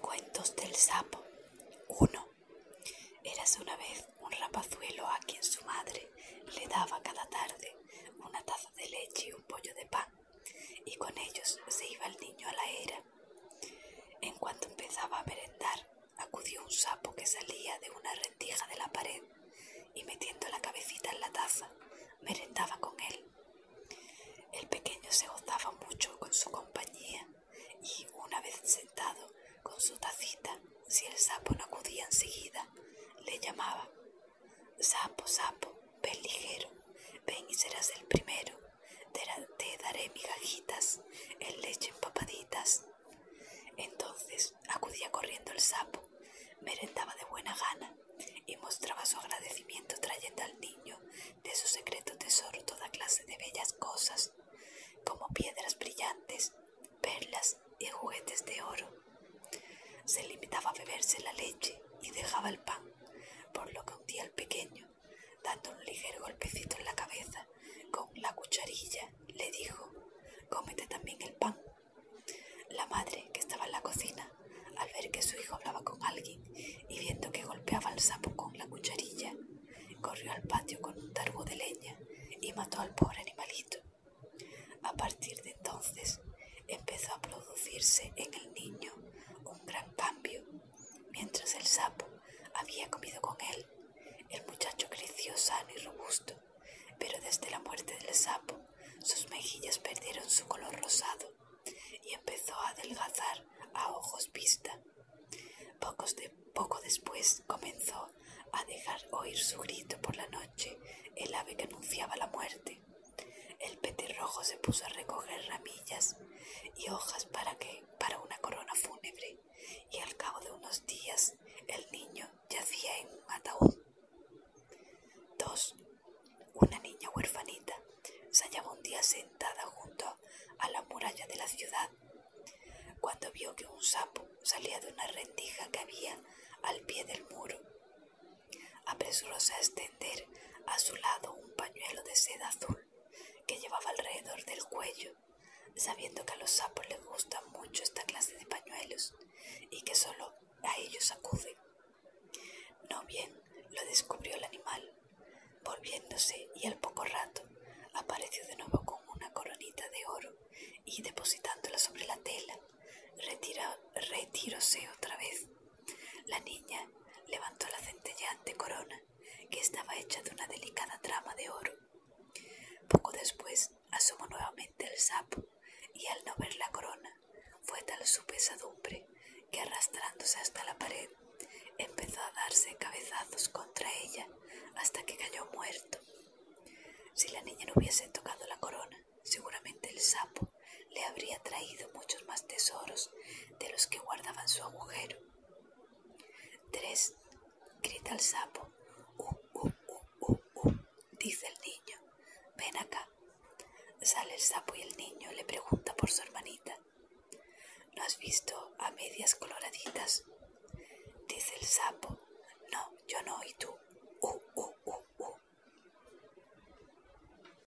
Cuentos del sapo 1. Eras una vez un rapazuelo a quien su madre le daba cada tarde una taza de leche y un pollo de pan, y con ellos se iba el niño a la era. En cuanto empezaba a merendar, acudió un sapo que salía de una rendija de la pared y metiendo la cabecita en la taza, merendaba con él. El pequeño se gozaba mucho con su compañía y, una vez sentado con su tacita, si el sapo no acudía enseguida, le llamaba Sapo, sapo, ven ligero, ven y serás el primero, te daré migajitas el leche empapaditas. Entonces acudía corriendo el sapo, merendaba de buena gana y mostraba su agradecimiento trayendo al niño de su secreto tesoro toda clase de bellas cosas, como piedras brillantes, perlas y juguetes de oro. Se limitaba a beberse la leche y dejaba el pan, por lo que un día el pequeño, dando un ligero golpecito en la cabeza con la cucharilla, le dijo, cómete también el pan la madre, que estaba en la cocina, al ver que su hijo hablaba con alguien y viendo que golpeaba al sapo con la cucharilla, corrió al patio con un targo de leña y mató al pobre animalito. A partir de entonces empezó a producirse en el niño un gran cambio. Mientras el sapo había comido con él, el muchacho creció sano y robusto pero desde la muerte del sapo sus mejillas perdieron su color rosado y empezó a adelgazar a ojos vista. poco después comenzó a dejar oír su grito por la noche el ave que anunciaba la muerte. El petirrojo se puso a recoger ramillas y hojas para, que, para una corona fúnebre y al cabo de unos días el niño yacía en un ataúd. 2. Una niña huerfanita se hallaba un día sentada junto a la muralla de la ciudad, cuando vio que un sapo salía de una rendija que había al pie del muro. Apresuróse a extender a su lado un pañuelo de seda azul que llevaba alrededor del cuello sabiendo que a los sapos les gusta mucho esta clase de pañuelos y que solo a ellos acuden. No bien lo descubrió el animal, volviéndose y al poco rato apareció de nuevo con una coronita de oro y depositándola sobre la tela, retira, otra vez. La niña levantó la centelleante corona que estaba hecha de una delicada trama de oro. Poco después asomó nuevamente el sapo, y al no ver la corona, fue tal su pesadumbre que arrastrándose hasta la pared, empezó a darse cabezazos contra ella hasta que cayó muerto. Si la niña no hubiese tocado la corona, seguramente el sapo le habría traído muchos más tesoros de los que guardaban su agujero. Tres, grita el sapo. Uh, uh, uh, uh, uh, dice el niño. Ven acá. Sale el sapo y el niño le pregunta por su hermanita. ¿No has visto a medias coloraditas? Dice el sapo. No, yo no, y tú. Uh, u, uh, uh. uh.